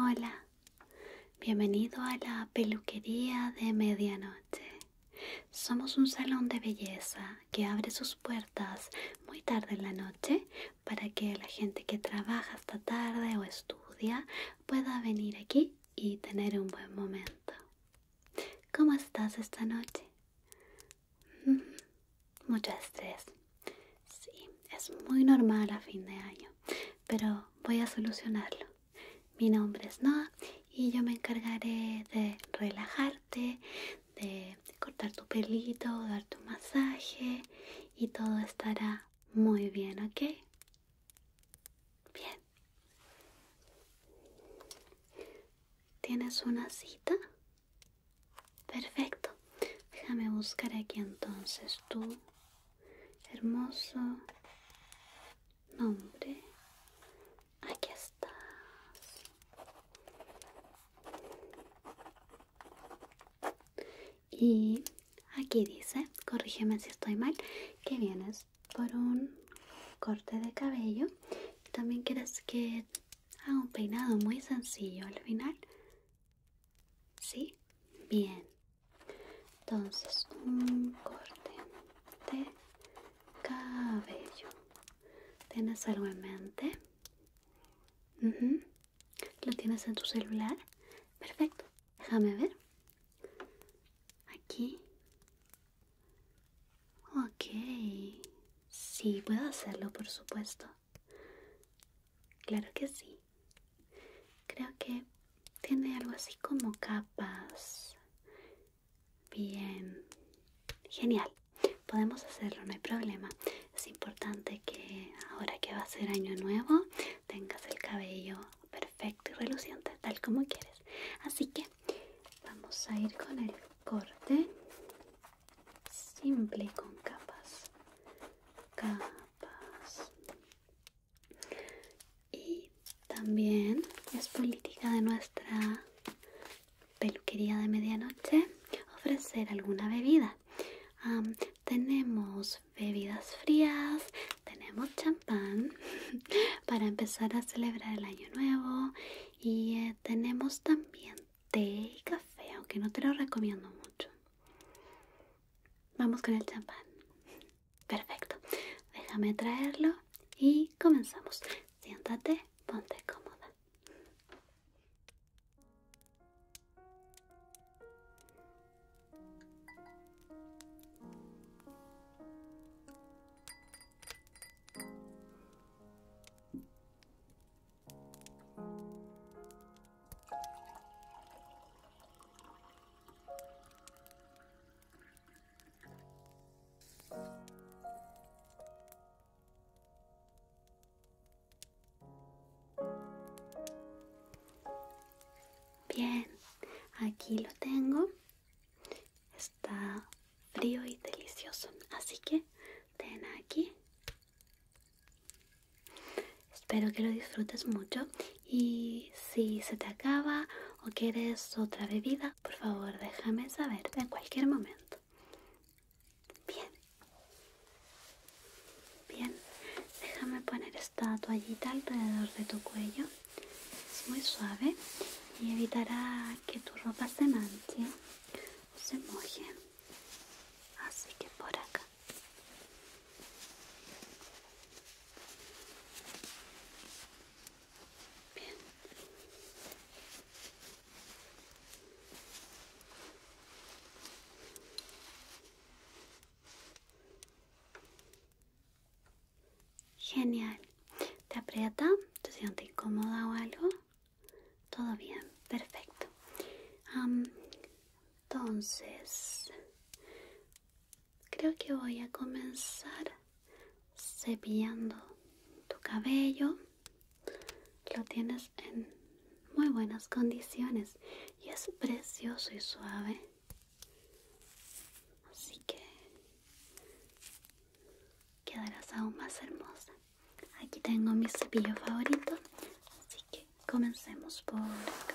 Hola, bienvenido a la peluquería de medianoche. Somos un salón de belleza que abre sus puertas muy tarde en la noche para que la gente que trabaja hasta tarde o estudia pueda venir aquí y tener un buen momento. ¿Cómo estás esta noche? Mm, mucho estrés. Sí, es muy normal a fin de año, pero voy a solucionarlo. Mi nombre es Noah y yo me encargaré de relajarte, de cortar tu pelito, darte un masaje y todo estará muy bien, ¿ok? Bien. ¿Tienes una cita? Perfecto. Déjame buscar aquí entonces tú. Hermoso nombre. Aquí estás. Y aquí dice, corrígeme si estoy mal, que vienes por un corte de cabello. También quieres que haga un peinado muy sencillo al final. ¿Sí? Bien entonces un corte de cabello tienes algo en mente lo tienes en tu celular perfecto déjame ver aquí ok sí puedo hacerlo por supuesto claro que sí creo que tiene algo así como capas. Bien, genial. Podemos hacerlo, no hay problema. Es importante que ahora que va a ser año nuevo tengas el cabello perfecto y reluciente, tal como quieres. Así que vamos a ir con el corte simple con capas. Capas y también es política de nuestra peluquería de medianoche ofrecer alguna bebida. tenemos bebidas frías, tenemos champán para empezar a celebrar el año nuevo y eh, tenemos también té y café, aunque no te lo recomiendo mucho. Vamos con el champán. Perfecto. Déjame traerlo y comenzamos. Siéntate, ponte cómoda. Bien, aquí lo tengo. Está frío y delicioso, así que ten aquí. Espero que lo disfrutes mucho y si se te acaba o quieres otra bebida, por favor déjame saber en cualquier momento. Bien. Bien, déjame poner esta toallita alrededor de tu cuello. Es muy suave y evitará que tu ropa se manche o se moje. Así que por acá. Bien. Genial. ¿Te aprieta? ¿Te sientes incómoda o algo? Todo bien, perfecto. entonces, creo que voy a comenzar cepillando tu cabello. Lo tienes en muy buenas condiciones y es precioso y suave. Así que quedarás aún más hermosa. Aquí tengo mi cepillo favorito, así que comencemos por acá.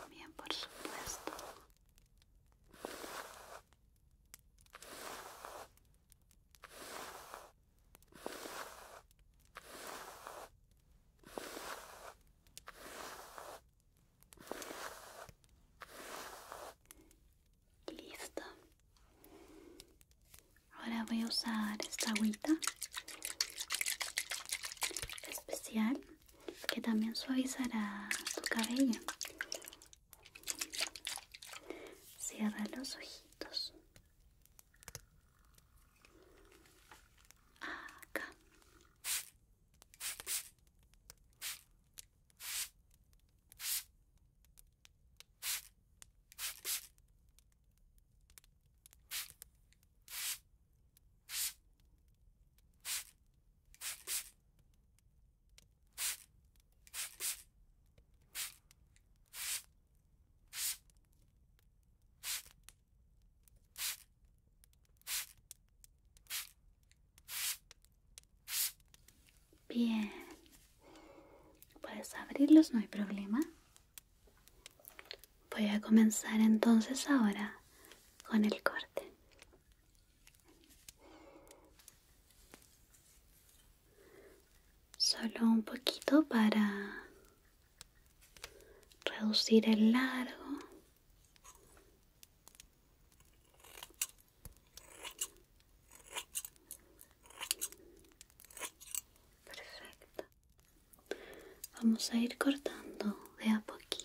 También, por supuesto. Listo. Ahora voy a usar esta agüita especial que también suavizará tu cabello. Cierra los ojitos. Bien, puedes abrirlos, no hay problema. Voy a comenzar entonces ahora con el corte. Solo un poquito para reducir el largo. Perfecto vamos a ir cortando de a poquito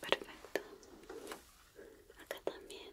perfecto acá también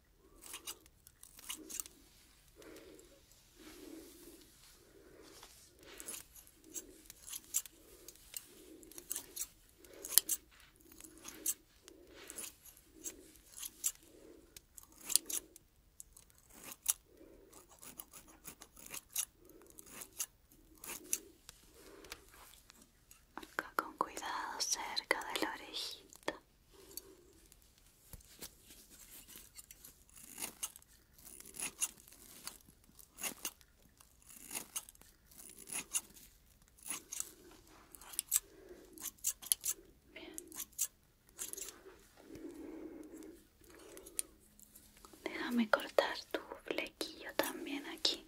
Acá con cuidado cerca de la orejita. Déjame cortar tu flequillo también aquí.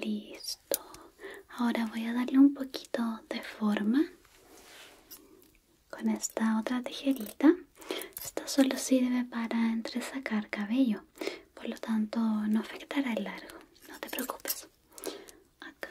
Listo. Ahora voy a darle un poquito de forma con esta otra tijerita. Esta solo sirve para entresacar cabello. Por lo tanto, no afectará el largo, no te preocupes. Acá.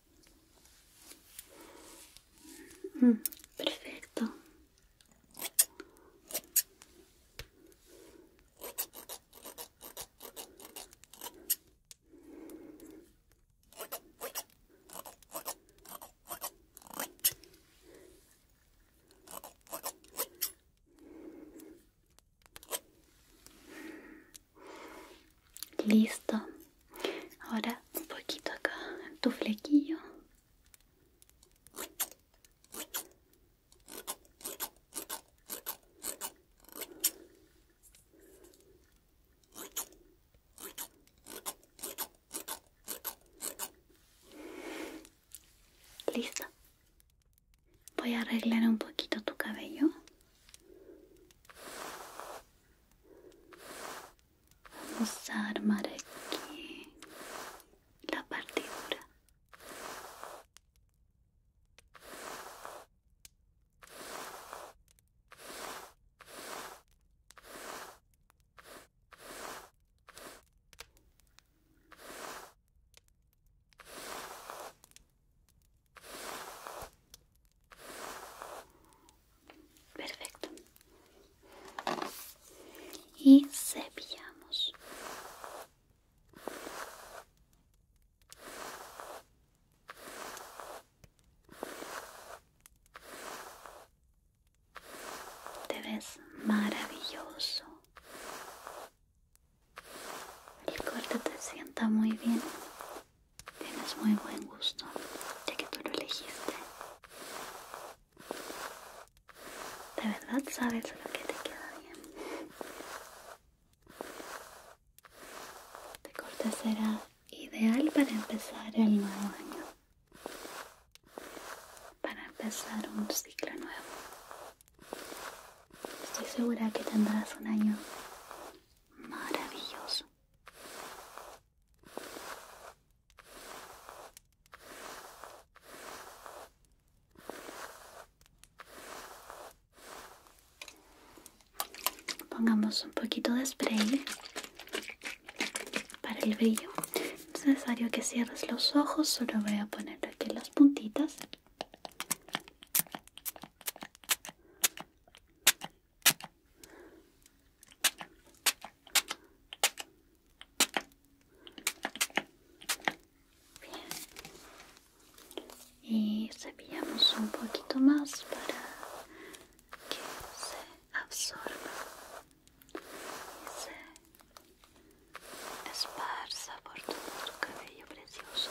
Mm, perfecto. Listo, Ahora un poquito acá en tu flequillo. Listo. Voy a arreglar un poquito tu cabello. Vamos a armar aquí la partitura. Perfecto. Y cepillamos. Te ves maravilloso. El corte te sienta muy bien. Tienes muy buen gusto, ya que tú lo elegiste. De verdad sabes lo que te queda bien. De este corte será ideal para empezar el nuevo año. Para empezar un ciclo nuevo. Estoy segura que tendrás un año maravilloso. Pongamos un poquito de spray para el brillo. es necesario que cierres los ojos, solo voy a poner aquí las puntitas y cepillamos un poquito más para que se absorba y se esparza por todo tu cabello precioso.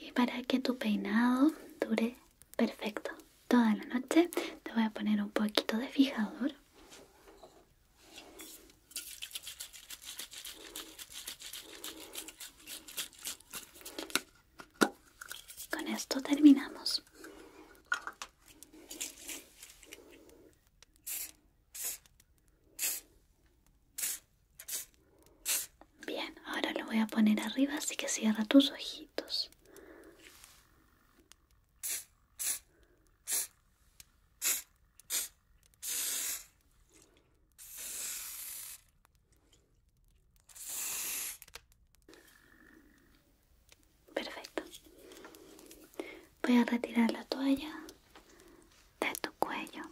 y para que tu peinado dure perfecto toda la noche, te voy a poner un poquito de fijador. Con esto terminamos. Bien, ahora lo voy a poner arriba, así que cierra tus ojitos. Perfecto. Voy a retirar la toalla de tu cuello.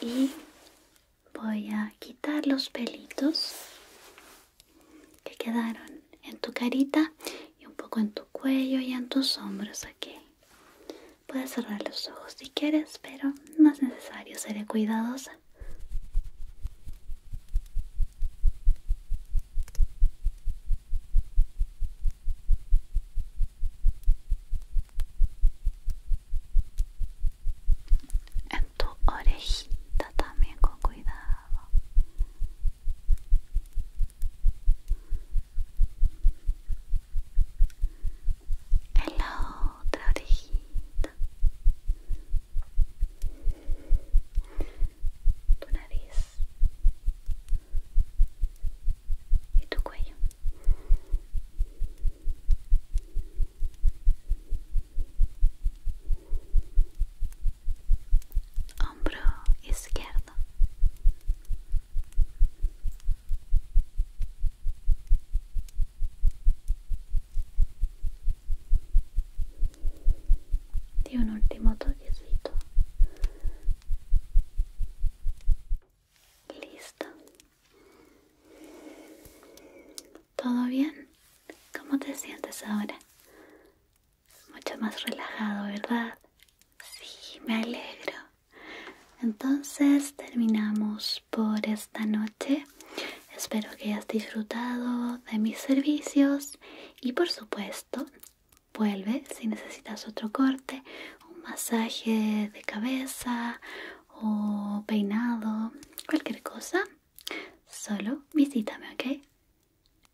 Y voy a quitar los pelitos que quedaron en tu carita y un poco en tu cuello y en tus hombros aquí. Puedes cerrar los ojos si quieres, pero no es necesario, seré cuidadosa. En tu orejita también con cuidado en la otra tu nariz y tu cuello hombro izquierdo y un último toquecito listo todo bien cómo te sientes ahora mucho más relajado, ¿verdad? Sí, me alegro. Entonces terminamos por esta noche. Espero que hayas disfrutado de mis servicios y por supuesto vuelve si necesitas otro corte, un masaje de cabeza o peinado, cualquier cosa. Solo visítame, ¿ok?